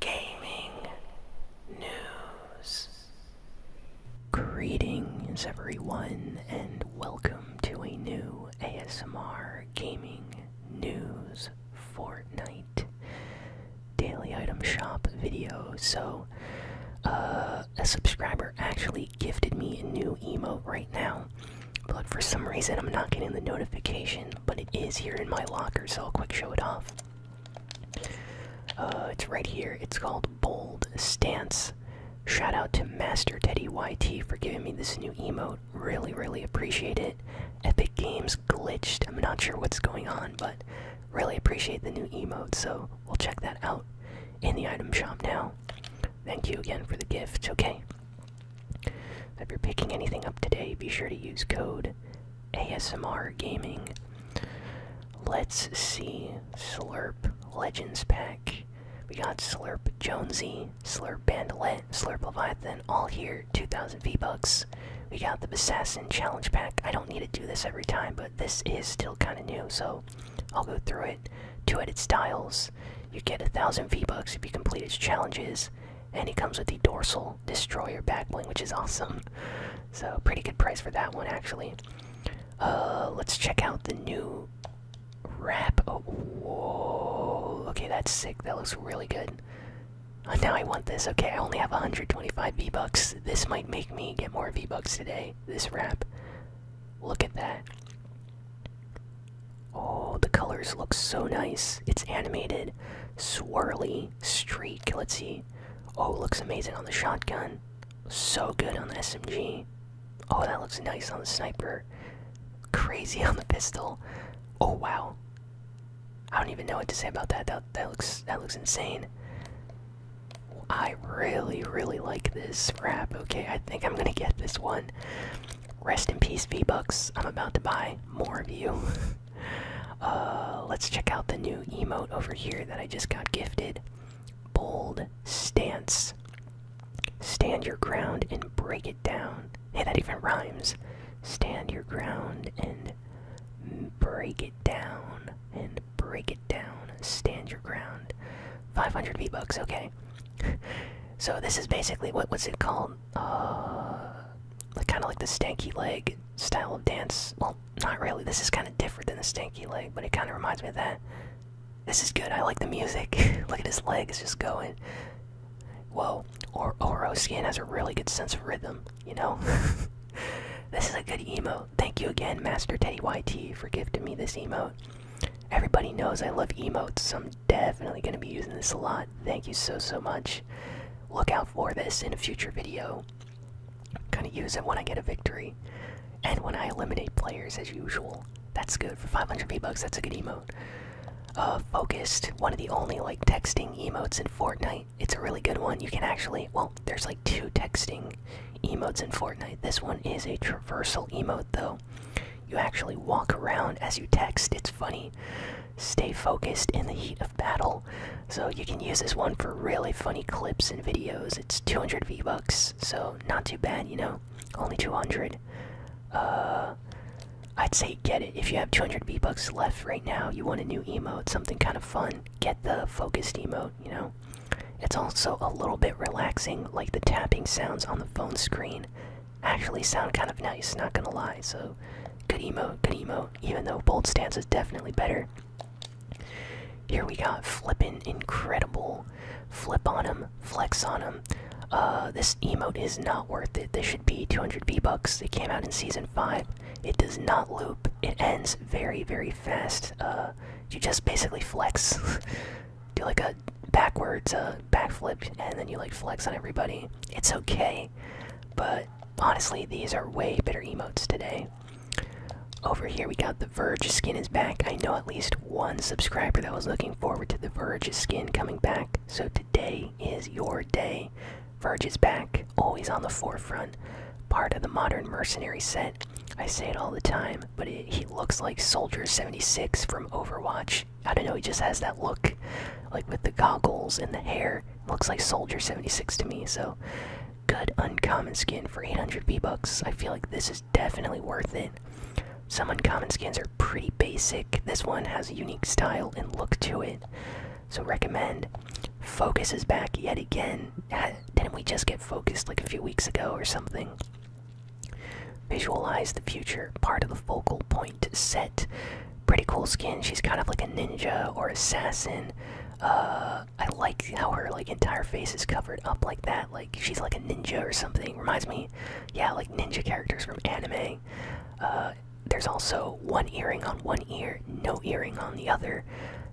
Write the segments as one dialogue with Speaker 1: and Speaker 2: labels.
Speaker 1: gaming news. Greetings, everyone, and welcome to a new ASMR Gaming News Fortnite Daily Item Shop video. So, uh, a subscriber actually gifted me a new emote right now, but for some reason I'm not getting the notification, but it is here in my locker, so I'll quick show it off. Uh, it's right here. It's called Bold Stance. Shout out to Master Teddy for giving me this new emote. Really, really appreciate it. Epic Games glitched. I'm not sure what's going on, but really appreciate the new emote. So we'll check that out in the item shop now. Thank you again for the gift. Okay. If you're picking anything up today, be sure to use code ASMR gaming. Let's see. Slurp Legends Pack. We got Slurp Jonesy, Slurp Bandollet, Slurp Leviathan, all here, 2,000 V-Bucks. We got the Assassin Challenge Pack. I don't need to do this every time, but this is still kind of new, so I'll go through it. Two-headed styles. You get a 1,000 V-Bucks if you complete its challenges, and it comes with the dorsal Destroyer back bling, which is awesome. So pretty good price for that one actually. Uh, let's check out the new wrap. Oh, whoa! Okay, that's sick. That looks really good. Uh, now I want this. Okay, I only have 125 V bucks. This might make me get more V bucks today. This wrap. Look at that. Oh, the colors look so nice. It's animated. Swirly streak. Let's see. Oh, looks amazing on the shotgun. So good on the SMG. Oh, that looks nice on the sniper. Crazy on the pistol. Oh wow. I don't even know what to say about that. That that looks that looks insane. I really really like this wrap. Okay, I think I'm gonna get this one. Rest in peace, V Bucks. I'm about to buy more of you. Uh, let's check out the new emote over here that I just got gifted. Bold stance. Stand your ground and break it down. Hey, that even rhymes. Stand your ground and break it down. And break it down. Stand your ground. 500 V bucks. Okay. so this is basically what what's it called? um, uh, kind of like the stanky leg style of dance. Well, not really. This is kind of different than the stanky leg, but it kind of reminds me of that. This is good. I like the music. Look at his legs just going. Whoa. Or Oro Skin has a really good sense of rhythm, you know? this is a good emote. Thank you again, Master Teddy YT, for gifting me this emote. Everybody knows I love emotes. Some definitely going to be using this a lot. Thank you so, so much. Look out for this in a future video. Gonna use it when I get a victory and when I eliminate players, as usual. That's good for 500 V-Bucks. That's a good emote. Uh, focused, one of the only like texting emotes in Fortnite. It's a really good one. You can actually, well, there's like two texting emotes in Fortnite. This one is a traversal emote, though you actually walk around as you text. It's funny. Stay focused in the heat of battle. So you can use this one for really funny clips and videos. It's 200 V-Bucks, so not too bad, you know? Only 200. Uh, I'd say get it. If you have 200 V-Bucks left right now, you want a new emote, something kind of fun, get the focused emote, you know? It's also a little bit relaxing, like the tapping sounds on the phone screen actually sound kind of nice, not gonna lie. So, good emote, good emote, even though bold stance is definitely better. Here we got flippin' incredible. Flip on him, flex on him. Uh, this emote is not worth it. This should be 200 B bucks It came out in Season 5. It does not loop. It ends very, very fast. Uh, you just basically flex. do like a backwards backflip and then you like flex on everybody. It's okay, but honestly, these are way better emotes today. Over here, we got the Verge skin is back. I know at least one subscriber that was looking forward to the Verge skin coming back. So today is your day. Verge is back, always on the forefront, part of the modern mercenary set. I say it all the time but he looks like Soldier 76 from Overwatch. I don't know, he just has that look, like with the goggles and the hair. Looks like Soldier 76 to me, so good uncommon skin for 800 B-Bucks. I feel like this is definitely worth it. Some uncommon skins are pretty basic. This one has a unique style and look to it, so recommend. Focus is back yet again. Didn't we just get focused like a few weeks ago or something? Visualize the future, part of the focal point set. Pretty cool skin. She's kind of like a ninja or assassin. Uh, I like how her like entire face is covered up like that. Like she's like a ninja or something. Reminds me, yeah, like ninja characters from anime. Uh, there's also one earring on one ear, no earring on the other.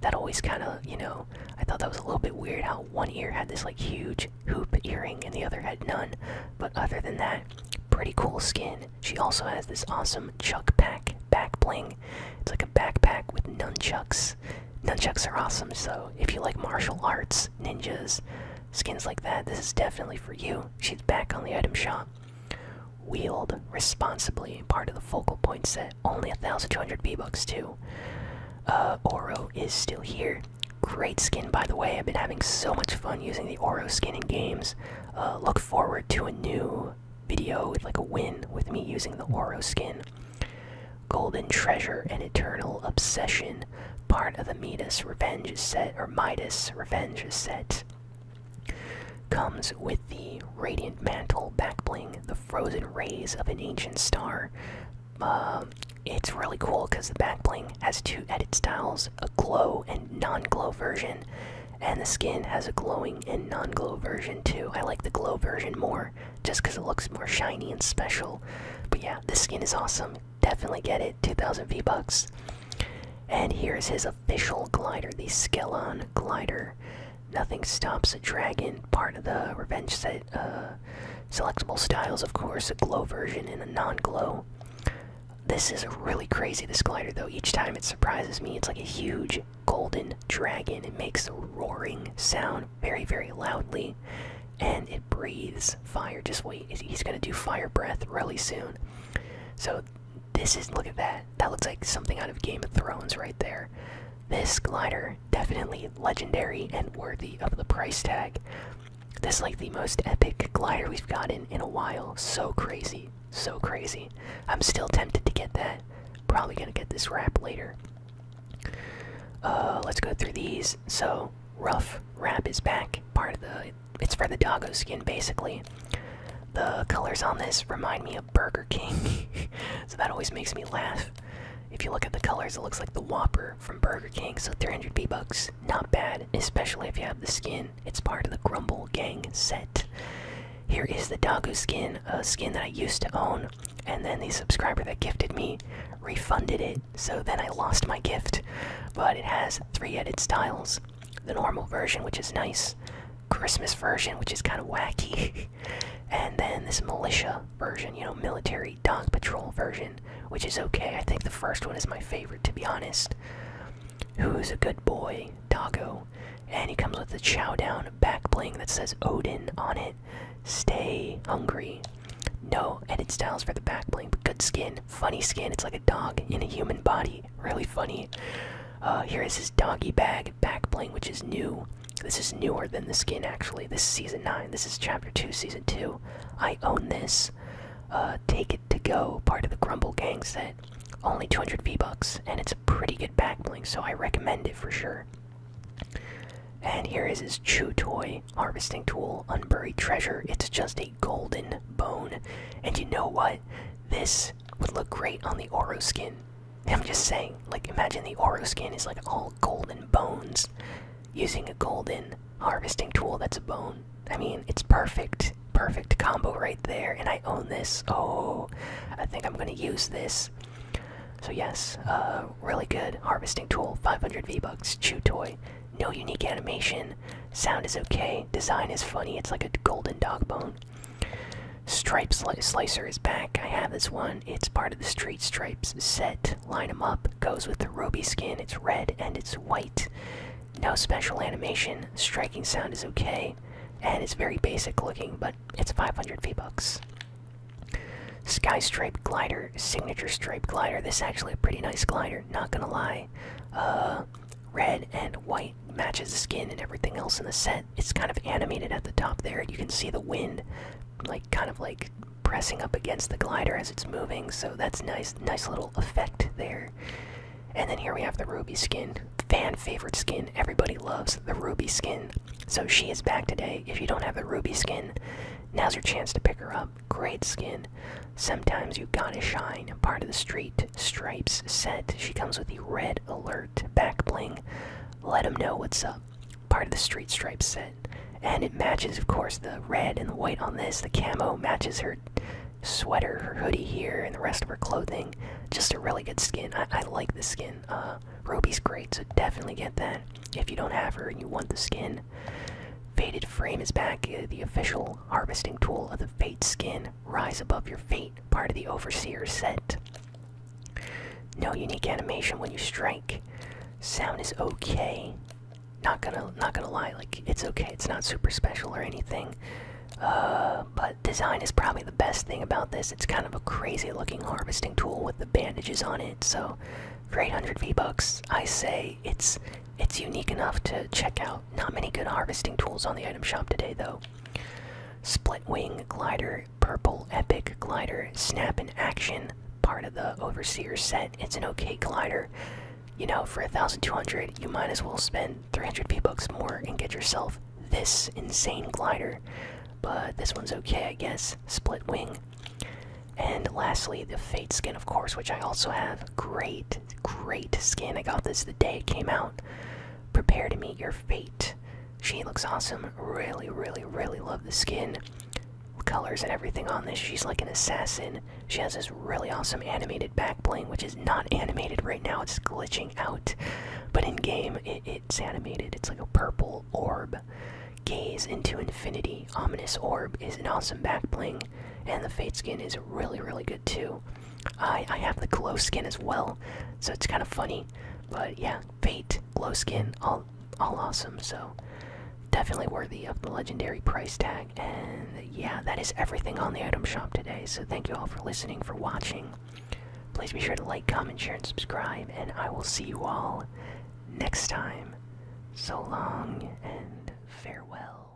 Speaker 1: That always kind of, you know, I thought that was a little bit weird how one ear had this like huge hoop earring, and the other had none. But other than that, pretty cool skin. She also has this awesome Chuck Pack back bling. It's like a backpack with nunchucks. Nunchucks are awesome, so if you like martial arts, ninjas, skins like that, this is definitely for you. She's back on the item shop. Wield responsibly, part of the focal point set. Only 1,200 V-Bucks, too. Uh, Oro is still here. Great skin, by the way. I've been having so much fun using the Oro skin in games. Uh, look forward to a new video like a win with me using the Oro skin. Golden Treasure and Eternal Obsession. Part of the Midas Revenge set, or Midas Revenge set. Comes with the Radiant Mantle back bling, the frozen rays of an ancient star. Um, it's really cool because the back bling has two edit styles a glow and non glow version, and the skin has a glowing and non glow version too. I like the glow version more just because it looks more shiny and special. But yeah, this skin is awesome. Definitely get it. 2000 V bucks. And here's his official glider, the Skylon glider. Nothing stops a dragon, part of the Revenge set uh, selectable styles, of course, a glow version and a non-glow. This is really crazy, this glider, though. Each time it surprises me, it's like a huge golden dragon. It makes a roaring sound very, very loudly, and it breathes fire. Just wait, he's gonna do fire breath really soon. So, this is, look at that. That looks like something out of Game of Thrones right there. This glider definitely legendary and worthy of the price tag. This is like the most epic glider we've gotten in a while. So crazy, so crazy. I'm still tempted to get that. Probably gonna get this wrap later. Uh, let's go through these. So rough wrap is back. Part of the it's for the doggo skin basically. The colors on this remind me of Burger King, so that always makes me laugh. If you look at the colors, it looks like the Whopper from Burger King, so 300 V-Bucks, not bad, especially if you have the skin. It's part of the Grumble Gang set. Here is the Dagu skin, a skin that I used to own, and then the subscriber that gifted me refunded it, so then I lost my gift. But it has three edit styles the normal version, which is nice, Christmas version, which is kind of wacky, and then this militia version, you know, military dog patrol version, which is okay. I think the first one is my favorite, to be honest. Who's a good boy, Doggo? And he comes with the chow down back bling that says Odin on it. Stay hungry. No edit styles for the back bling, but good skin, funny skin. It's like a dog in a human body. Really funny. Uh, here is his doggy bag back bling, which is new. This is newer than the skin, actually. This is season 9. This is chapter 2, season 2. I own this. Uh, take it to go, part of the Grumble Gang set. Only 200 V-Bucks, and it's a pretty good back bling, so I recommend it for sure. And here is his Chew Toy Harvesting Tool, Unburied Treasure. It's just a golden bone. And you know what? This would look great on the Oro skin. I'm just saying, like, imagine the Oro skin is like all golden bones. Using a golden harvesting tool that's a bone. I mean, it's perfect. Perfect combo right there, and I own this. Oh, I think I'm gonna use this. So, yes, uh, really good harvesting tool. 500 V-Bucks, Chew Toy. No unique animation. Sound is okay. Design is funny. It's like a golden dog bone. Stripe Slicer is back. I have this one. It's part of the Street Stripes set. Line them up. Goes with the Roby skin. It's red and it's white. No special animation. Striking sound is okay. And it's very basic looking, but it's 500 V-Bucks. Sky Stripe Glider. Signature Stripe Glider. This is actually a pretty nice glider, not gonna lie. Uh, red and white matches the skin and everything else in the set it's kind of animated at the top there. You can see the wind, like kind of like pressing up against the glider as it's moving. So that's nice, nice little effect there. And then here we have the Ruby skin, fan favorite skin. Everybody loves the Ruby skin. So she is back today. If you don't have the Ruby skin, now's your chance to pick her up. Great skin. Sometimes you gotta shine. a Part of the street. Stripes set. She comes with the red alert back bling. Let them know what's up. Part of the Street Stripes set. And it matches, of course, the red and the white on this. The camo matches her sweater, her hoodie here, and the rest of her clothing. Just a really good skin. I, like the skin. Uh, Roby's great, so definitely get that if you don't have her and you want the skin. Faded Frame is back, uh, the official harvesting tool of the Fate skin. Rise above your fate, part of the Overseer set. No unique animation when you strike. Sound is okay. Not gonna, not gonna lie, like it's okay. It's not super special or anything. Uh, but design is probably the best thing about this. It's kind of a crazy-looking harvesting tool with the bandages on it. So, for 800 V bucks, I say it's it's unique enough to check out. Not many good harvesting tools on the item shop today, though. Split Wing Glider, Purple Epic Glider, Snap and Action, part of the Overseer set. It's an okay glider. You know, for 1200 you might as well spend 300 P-Bucks more and get yourself this insane glider. But this one's okay, I guess. Split Wing. And lastly, the Fate skin, of course, which I also have. Great, great skin. I got this the day it came out. Prepare to meet your fate. She looks awesome. Really, really, really love the skin, colors, and everything on this. She's like an assassin. She has this really awesome animated back bling, which is not animated right now. It's glitching out. But in game, it's animated. It's like a purple orb. Gaze into infinity. Ominous orb is an awesome back bling and the fade skin is really really good too i i have the glow skin as well so it's kind of funny but yeah fate glow skin all all awesome so definitely worthy of the legendary price tag and yeah that is everything on the item shop today so thank you all for listening for watching please be sure to like comment share and subscribe and i will see you all next time so long and farewell